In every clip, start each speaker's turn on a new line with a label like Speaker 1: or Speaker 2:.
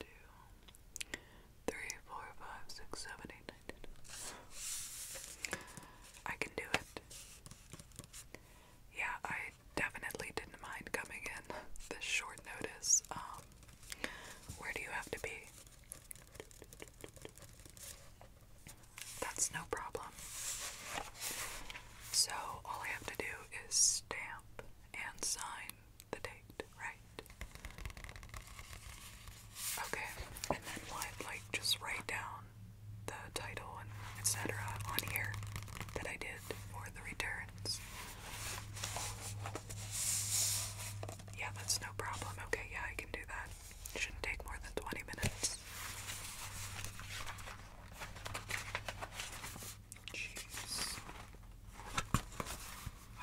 Speaker 1: two, three, four, five, six, seven, eight, nine, ten. I can do it. Yeah, I definitely didn't mind coming in this short notice. Um, where do you have to be? That's no problem. So all I have to do is stamp and sign the date, right? Okay, and then what? Like, just write down the title and etc. on here that I did for the returns. Yeah, that's no problem. Okay, yeah, I can do that. shouldn't take more than 20 minutes.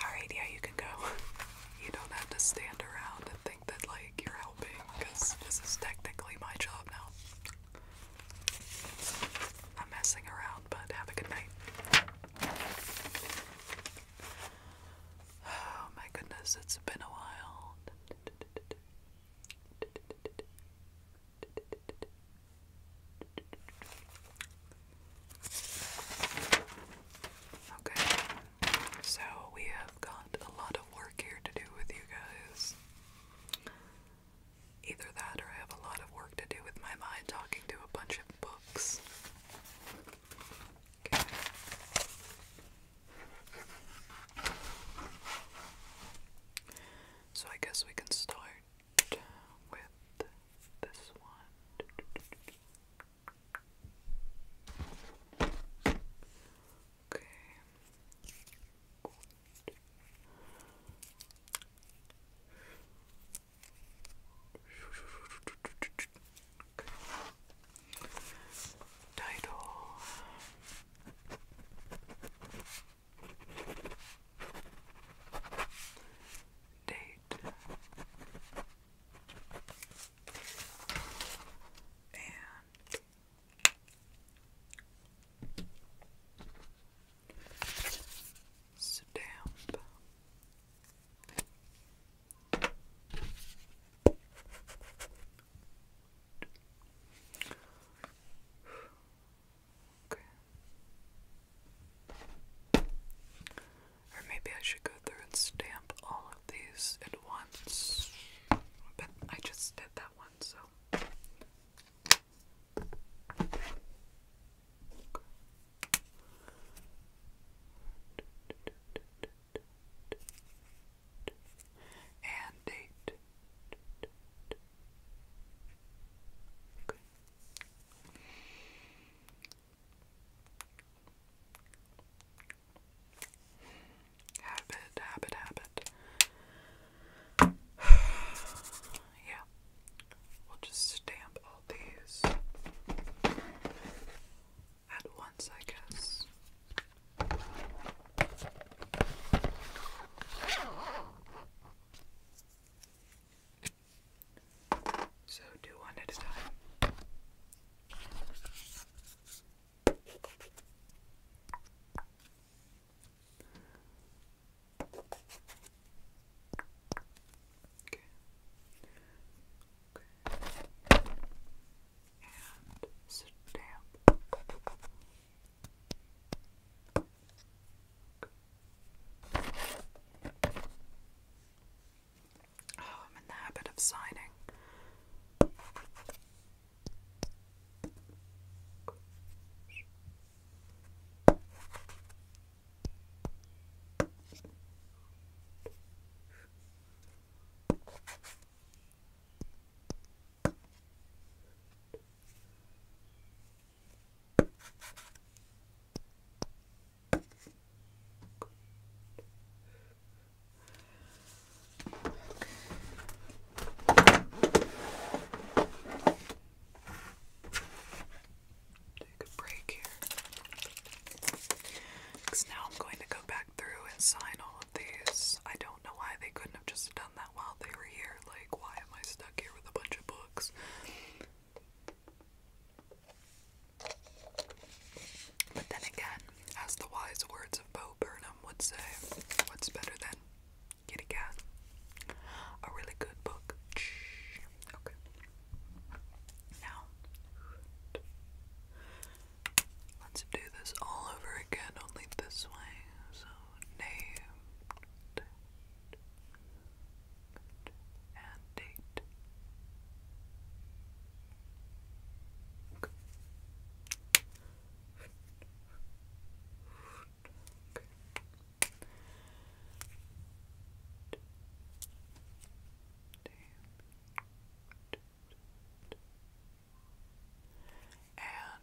Speaker 1: Alright, yeah, you can go. You don't have to stand around and think that, like, you're helping, because this is technically my job now. I'm messing around, but have a good night. Oh my goodness, it's been a while. Okay, so we have got a lot of work here to do with you guys. Either that or I have a lot of work to do with my mind talking to a bunch of books. So I guess we can start with this one. Okay. Good. Title date and stamp. Or maybe I should go through and stamp all of these at once. But I just did that one, so. And date. Habit, habit, habit. yeah. We'll just stamp all these at once, I guess. So do one at a time. Okay. Okay. And stamp. Oh, I'm in the habit of signing. Good. Take a break here. Because now I'm going to go back through and sign all of these. I don't know why they couldn't have just done that while they were here. Like, why am I stuck here with a bunch of books? dogs. But then again, as the wise words of Bo Burnham would say, what's better than kitty cat? A really good book. Shh. Okay. Now, let's do this all over again, only this way. So, named good, and date. Okay. Okay. And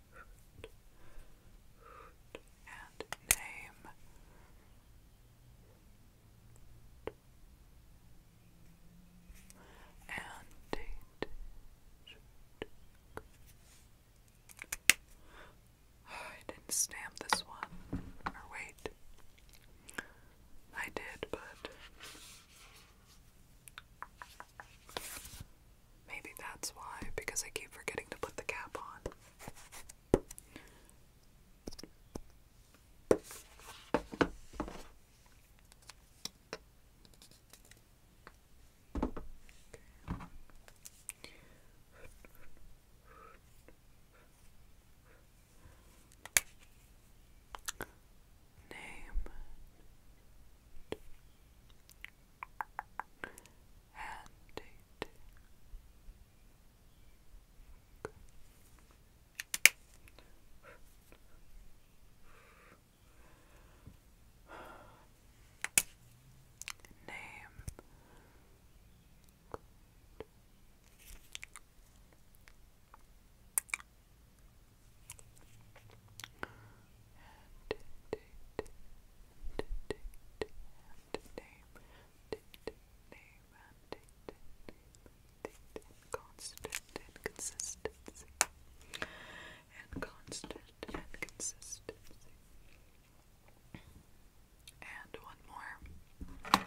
Speaker 1: and name. And date. Oh, I didn't stamp this one. Or wait. I did, but Maybe that's why, because I keep forgetting to put the cap on. Name and eight. Name and date, and date, and name, date, name, and date, name, date, and constant and consistency, and constant and consistency. And one more.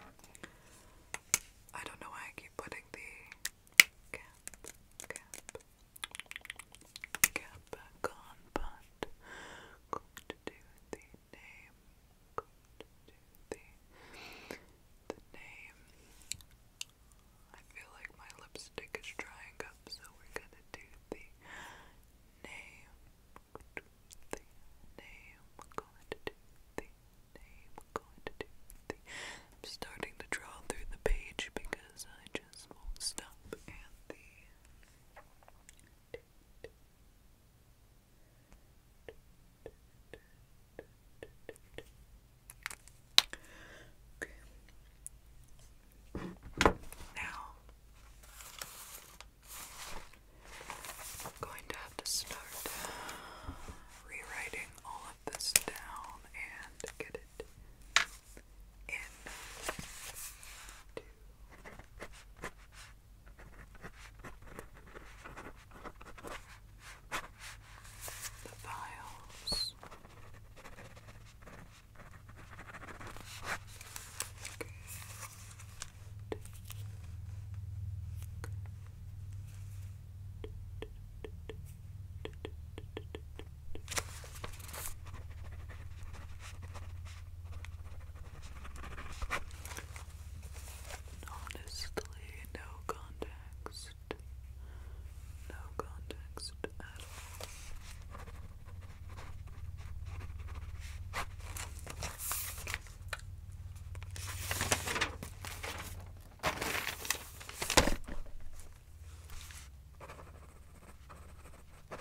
Speaker 1: I don't know why I keep putting the cap, cap, Get back on, but going to do the name. Going to do the the name. I feel like my lipstick is drying up, so we're gonna do the name. the name. Going to do the name. Going to do the. I'm starting to draw through the page because because I just won't stop and the Now I'm going to have to start rewriting all of this down and get it it in The vials. Honestly, no context. No context at all. I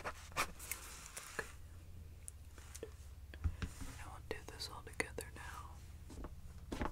Speaker 1: will do this all together now.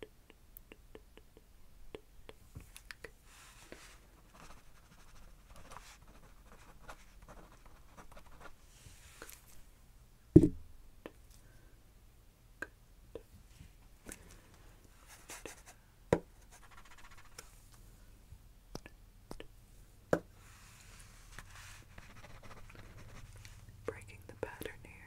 Speaker 1: Good. Good. Breaking the pattern here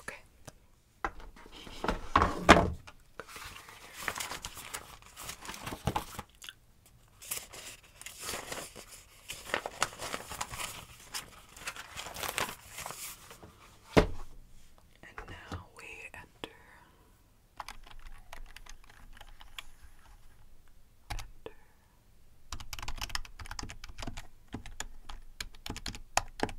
Speaker 1: okay. And now we enter under. Name. Okay.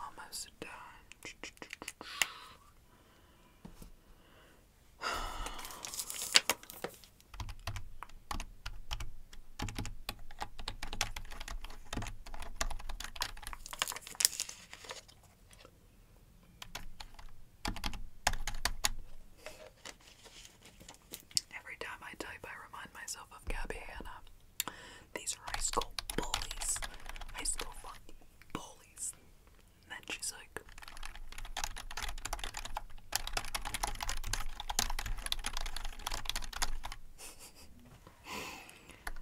Speaker 1: Almost done. Every time I type, I remind myself of Gabby Hanna. These are high school bullies. High school fucking bullies. And then she's like,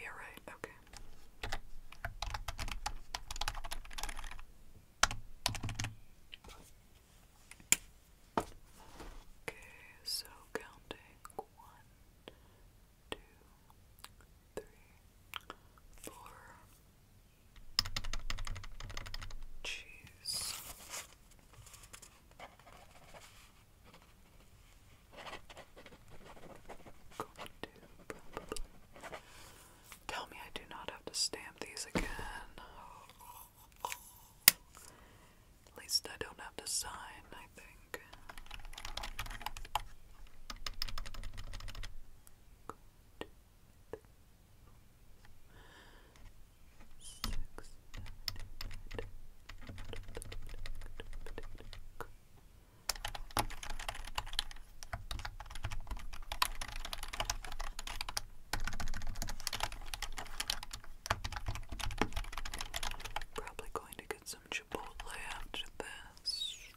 Speaker 1: Yeah, right, okay. Okay, so counting. One, two, three, four. Cheese. Going to Tell me I do not have to stamp these again. At least I don't have to sign, I think. Probably going to get some Chipotle after this.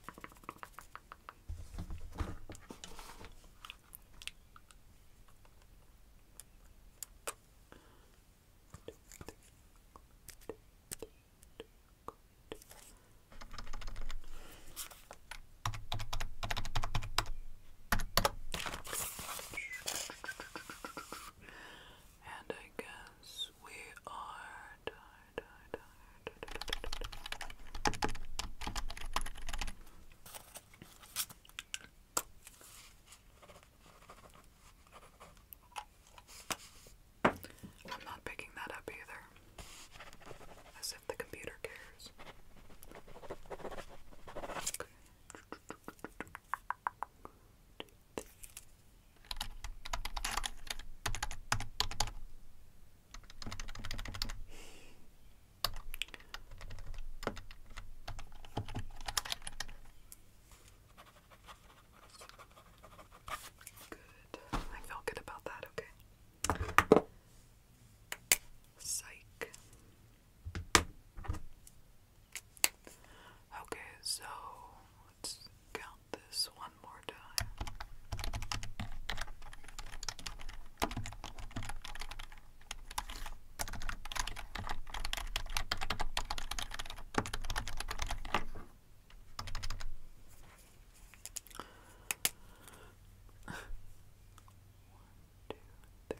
Speaker 1: And I guess we are tired, tired, tired, I'm not picking that up either. As if the computer cares. Good. I felt good about that, okay. Psych. Okay, so let's count this one more time. One, two, three.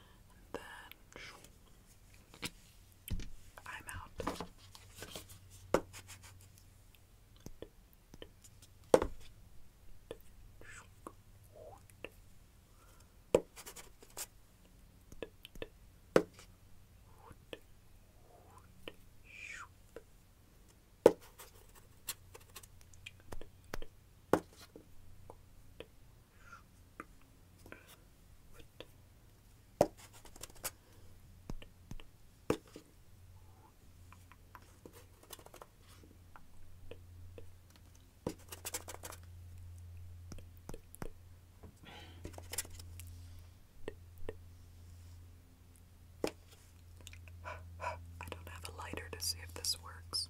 Speaker 1: and then I'm out. I don't have a lighter to see if this works.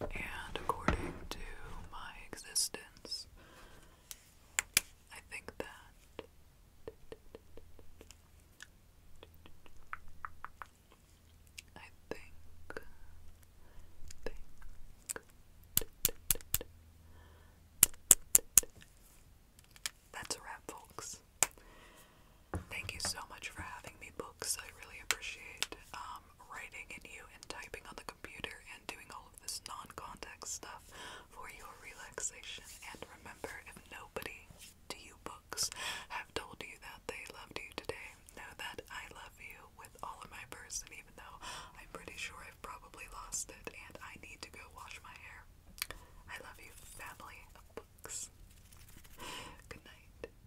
Speaker 1: And according to my existence, I think that I think that's a wrap, folks. Thank you so much for having me, books. I really appreciate um, writing at you and typing on the computer and doing all of this non context stuff for your relaxation. And remember, if nobody to you books have told you that they loved you today, know that I love you with all of my person, even though I'm pretty sure I've probably lost it and I need to go wash my hair. I love you, family of books. Good night.